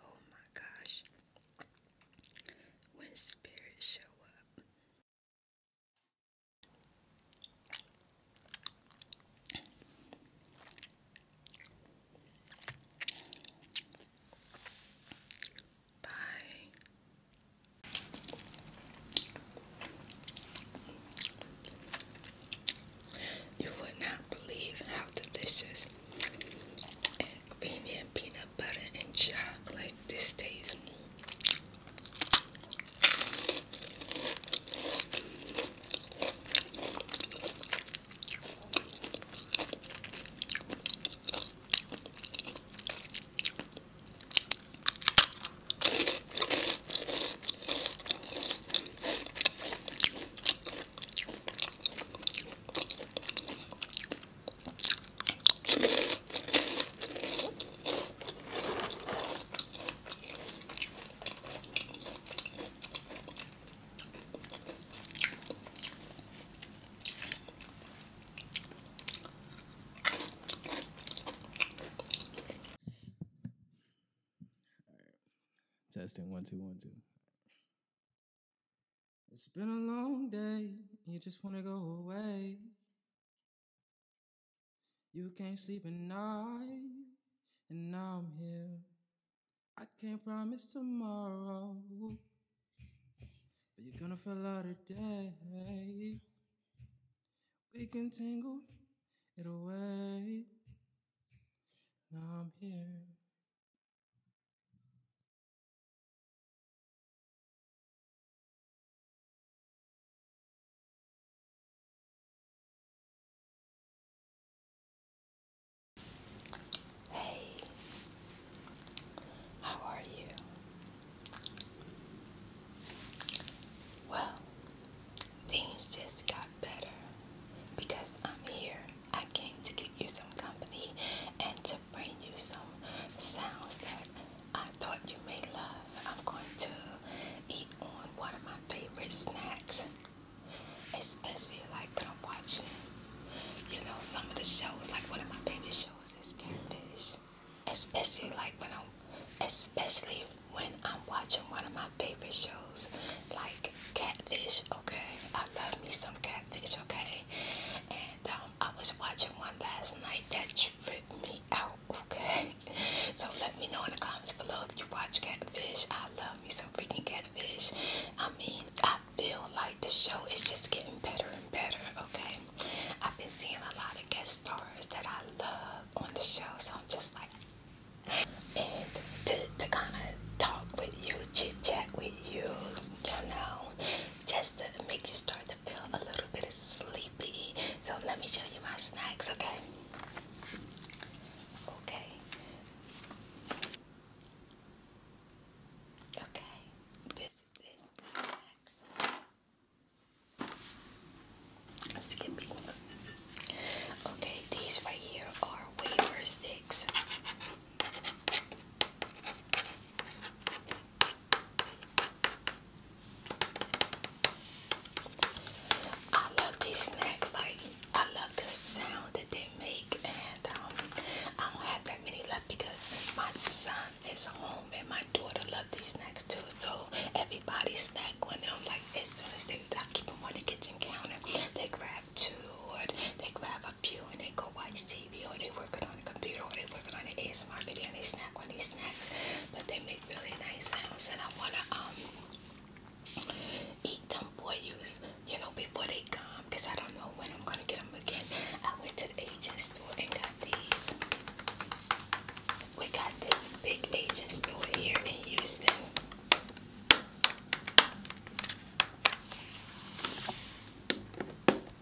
Oh my gosh. When spirits show up, Bye. You would not believe how delicious and creamy and peanut butter and chocolate. This tastes Testing one two one two. It's been a long day, you just wanna go away. You can't sleep at night, and now I'm here. I can't promise tomorrow, but you're gonna feel out today. We can tangle it away. Now I'm here. Hey, how are you? Well, things just got better because I'm here. I came to give you some company and to bring you some sounds that I thought you may love. I'm going to eat on one of my favorite snacks, especially like when I'm watching, you know, some of the shows. Like one of my favorite shows is Catfish, especially like when I'm, especially when I'm watching one of my favorite shows, like Catfish. Okay, I love me some Catfish. Okay, um, I was watching one last night that tripped me out, okay? So let me know in the comments below if you watch Catfish. I love me some freaking Catfish. I mean, I feel like the show is just getting better and better, okay? I've been seeing a lot of guest stars that I love on the show, so I'm just like, and to, to kind of talk with you, chit chat with you, you know, just to make you start to feel a little bit sleepy. So let me show you my snacks, okay? Okay. Okay. This is snacks. Skippy. Okay, these right here are wafer sticks. I love these snacks, like I love the sound that they make and um, I don't have that many left because my son is home and my daughter loves these snacks too. So everybody snack on them like it's soon as they I keep them on the kitchen counter. They grab two or they grab view and they go watch TV or they working on a computer or they working on an ASMR video and they snack on these snacks. But they make really nice sounds and I wanna um eat them for you, you know, before they come because I don't know when I'm gonna get them again. I went to the agent store and got these. We got this big agent store here in Houston.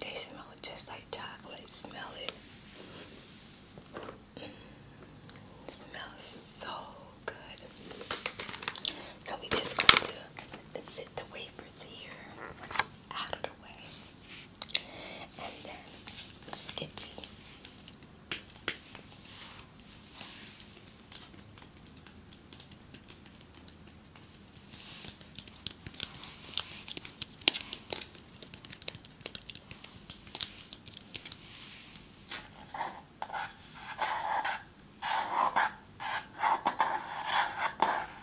They smell just like chocolate. Smell it. Mm, smells so good. So we just going to sit the wafers here out of the way and then Skippy.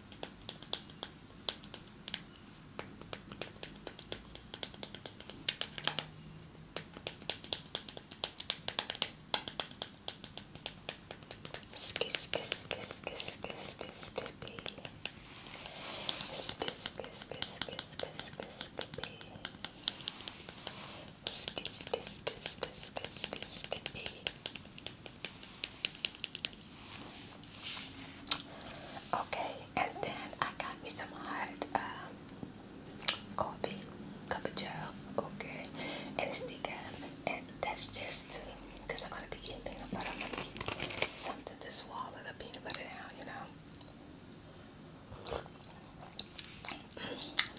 Ski ski ski ski ski ski skippy Ski ski ski ski ski ski skippy Ski ski ski ski ski ski skippy Okay, and then I got me some hot um, coffee, cup of joe. okay, and it's decaf, and that's just to, because I'm going to be eating peanut butter, something to swallow the peanut butter down, you know.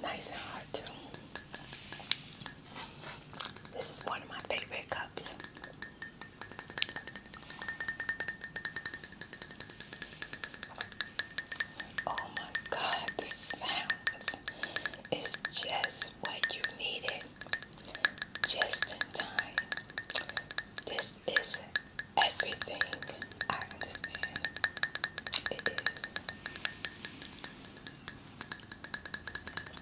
nice and hot too. This is one of my favorite cups. Oh my god, the sounds is just what you needed. Just in time. This is everything. I understand. It is.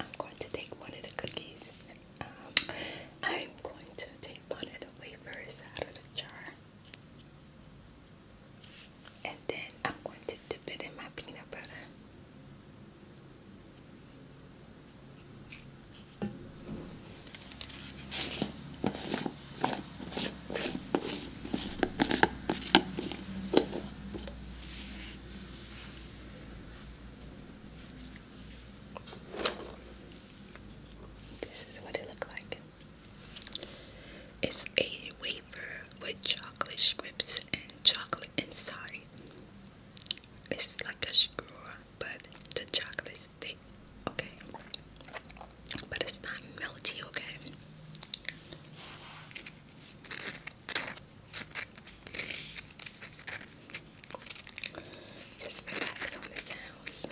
I'm going to take one of the cookies. Um, I'm going to take one of the wafers out of the jar. And then I'm going to dip it in my peanut butter. This is what it looked like. It's a wafer with chocolate strips and chocolate inside. It's like a sugar, but the chocolate's thick. Okay but it's not melty, okay? Just relax on the sounds.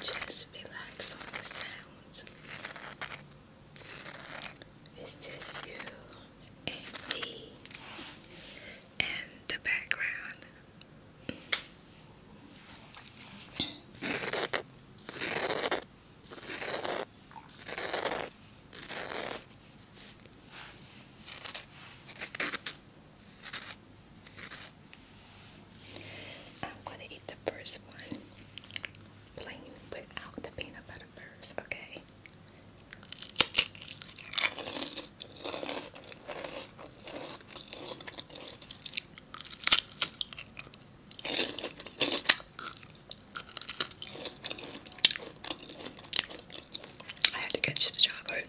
Just relax on the sounds. It's just you and me in the background. I'm going to eat the first one plain without the peanut butter first, okay? okay. I had to catch the chocolate.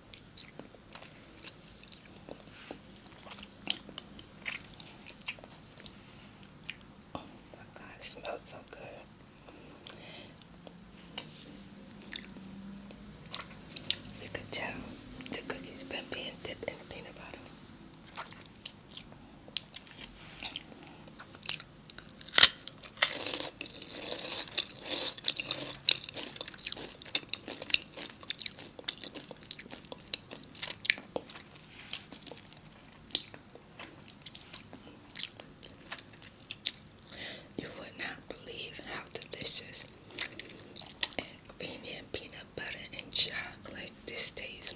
Oh my god, it smells so good. You can tell the cookies been being dipped in peanut butter. You would not believe how delicious creamy and peanut butter and chocolate this tastes.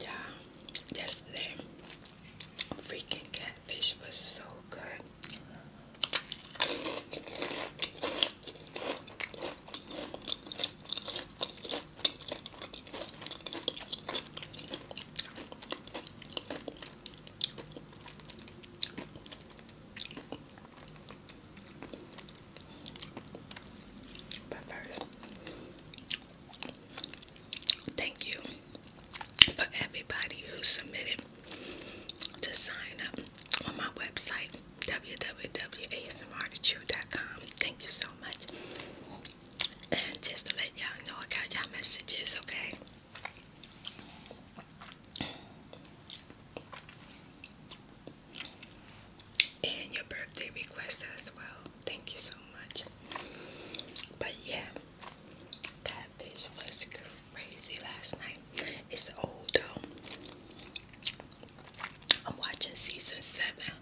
Yeah, yesterday freaking catfish was so good. But first, thank you for everybody who submitted to sign up on my website www.asmrthechew.com. Thank you so much. And just to let y'all know, I got y'all messages, okay? And your birthday request as well. Thank you so much. But yeah, catfish was crazy last night. It's old though. I'm watching season seven.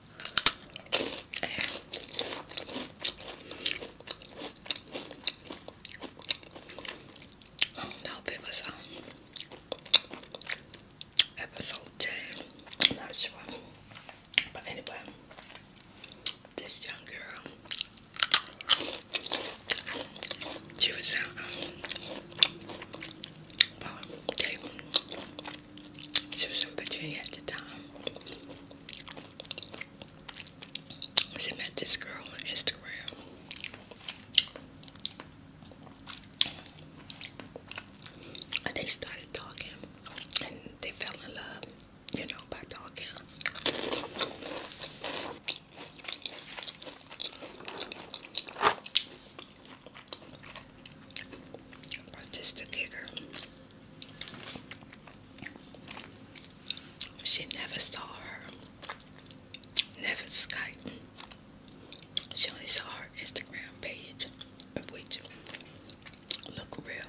I don't know if um, episode 10. I'm not sure. But anyway, this young girl, she was out. Um, Okay. She was in Virginia at the time. She met this girl on Instagram. And they started talking and they fell in love, you know, by talking just the kicker. She never saw her. Never Skype. She only saw her Instagram page, which look real.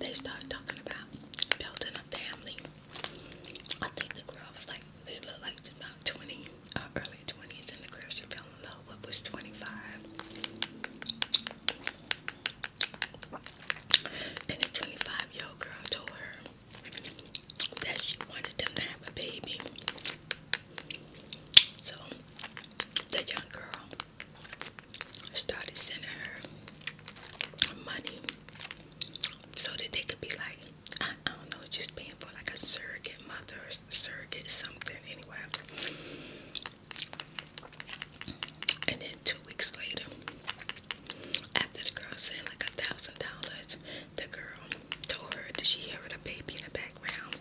They start talking about building a family. I think the girl was like, they looked like about 20. Uh, early 20s and the girl she fell in love with was 25. And the 25 year old girl told her that she wanted them to have a baby. So the young girl started sending her money so that they could be like, I, don't know, just paying for like a surrogate mother surrogate something anyway. And then two weeks later, after the girl said like a thousand dollars, the girl told her that she heard a baby in the background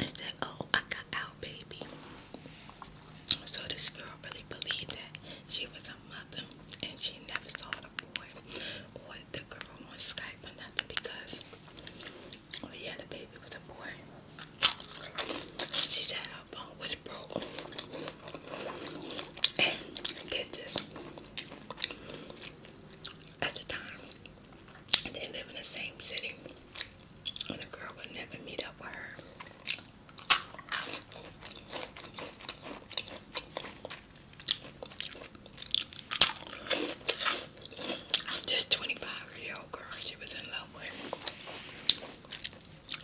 I said, Oh, I got out, baby. So this girl really believed that she was a mother and she never saw the boy the girl on Skype or nothing because oh yeah the baby was a boy. She said her phone was broke. And get this at the time they live in the same city. And the girl would never meet up with her. This 25 year old girl she was in love with.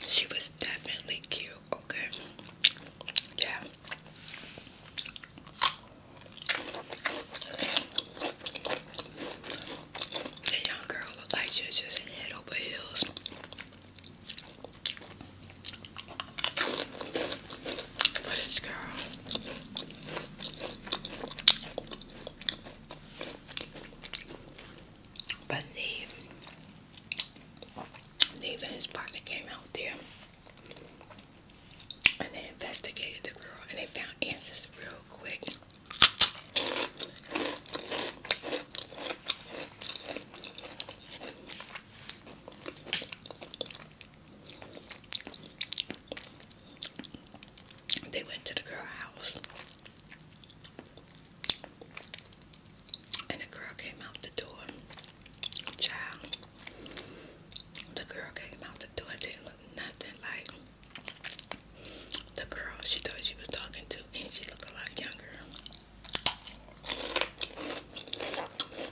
She was definitely cute, okay? Yeah. The young girl looked like she was just head over heels. this girl, but Neve, Neve and his partner came out there and they investigated the girl and they found answers real quick. They went to the girl house. And the girl came out the door. Child. The girl came out the door. didn't look nothing like the girl she thought she was talking to. And she looked a lot younger.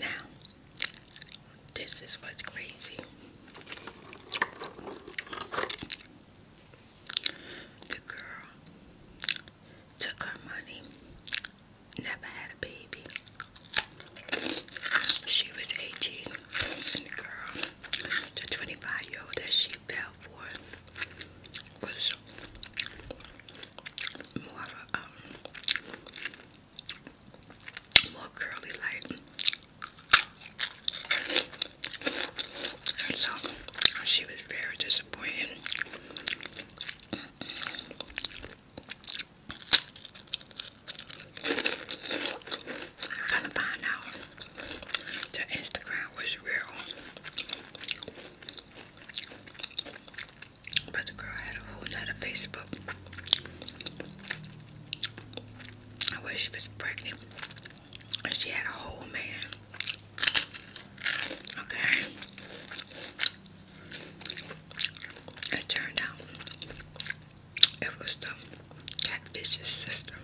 Now, this is what's crazy. girl took her money, never had a baby. She was 18, girl the 25 year old that she fell for was more um, more curly like. so she was very disappointed trying to find out the Instagram was real. But the girl had a whole lot of Facebook. I wish she was pregnant. And she had a whole man. Okay. It turned out it was the catfish's sister.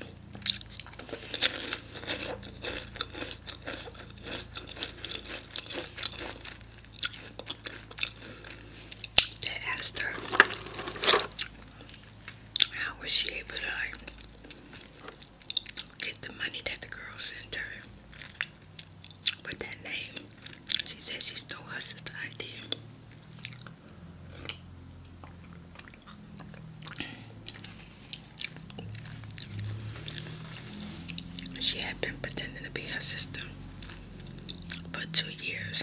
They asked her how was she able to like get the money that the girl sent her with that name. She said she stole her sister's idea. She had been pretending to be her sister for two years.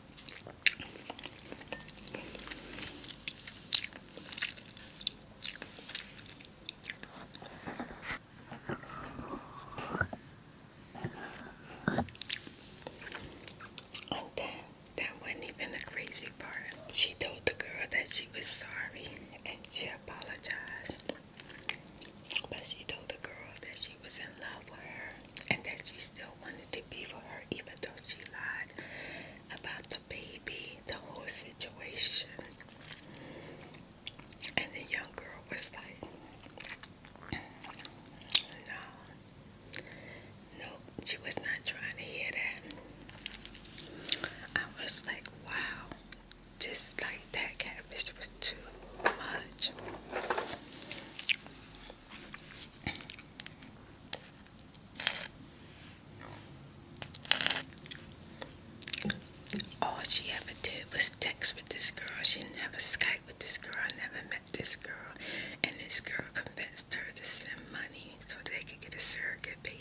that wasn't even the crazy part. She told the girl that she was sorry and she apologized. But she told the girl that she was in love with her and that she still wanted to be for her even though she lied about the baby, the whole situation. And the young girl was like, no, nope, she was not trying to hear that. I was like, wow, just like that catfish was too much. All she ever did was text with this girl. She never Skype with this girl. I never met this girl. And this girl convinced her to send money so they could get a surrogate baby.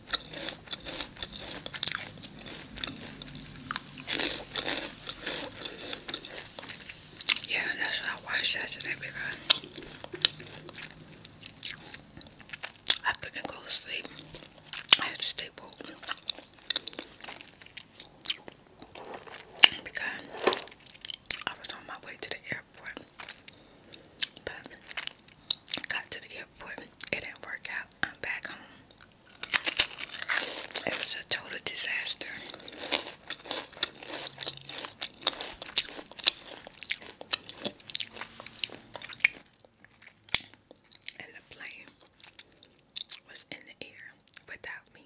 Yeah, that's why I watched because I couldn't go to sleep. I had to stay woke. Because I was on my way to the airport. But got to the but it didn't work out. I'm back home. It was a total disaster. And the plane was in the air without me.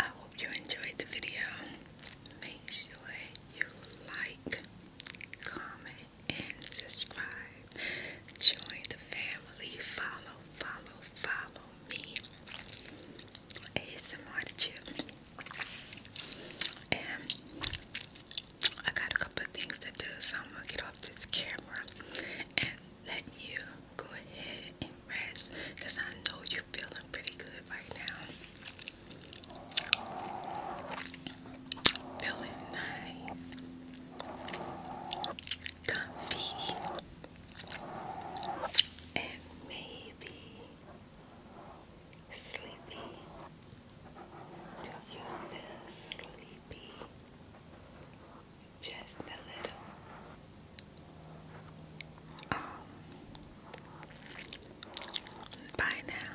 I hope you enjoyed the video. Make sure you like, comment, and subscribe. Join the family. Follow, follow, follow me. ASMR chip. And I got a couple things to do, so I'm gonna get off this camera and let you go ahead and rest I know you're feeling pretty good right now. Feeling nice, comfy, and maybe sleepy. Do you feel sleepy? Just a little. Um, by now,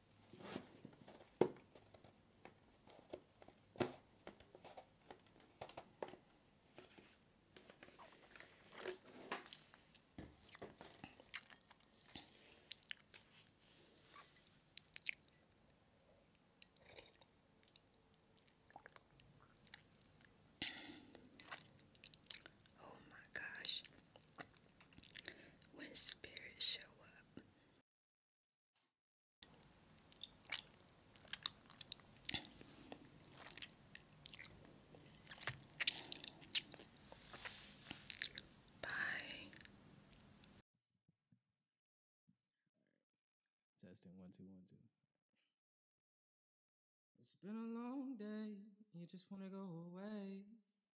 Oh my gosh. When spirits show up, Bye. Testing one, two, one, two. It's been a long day. You just want to go away.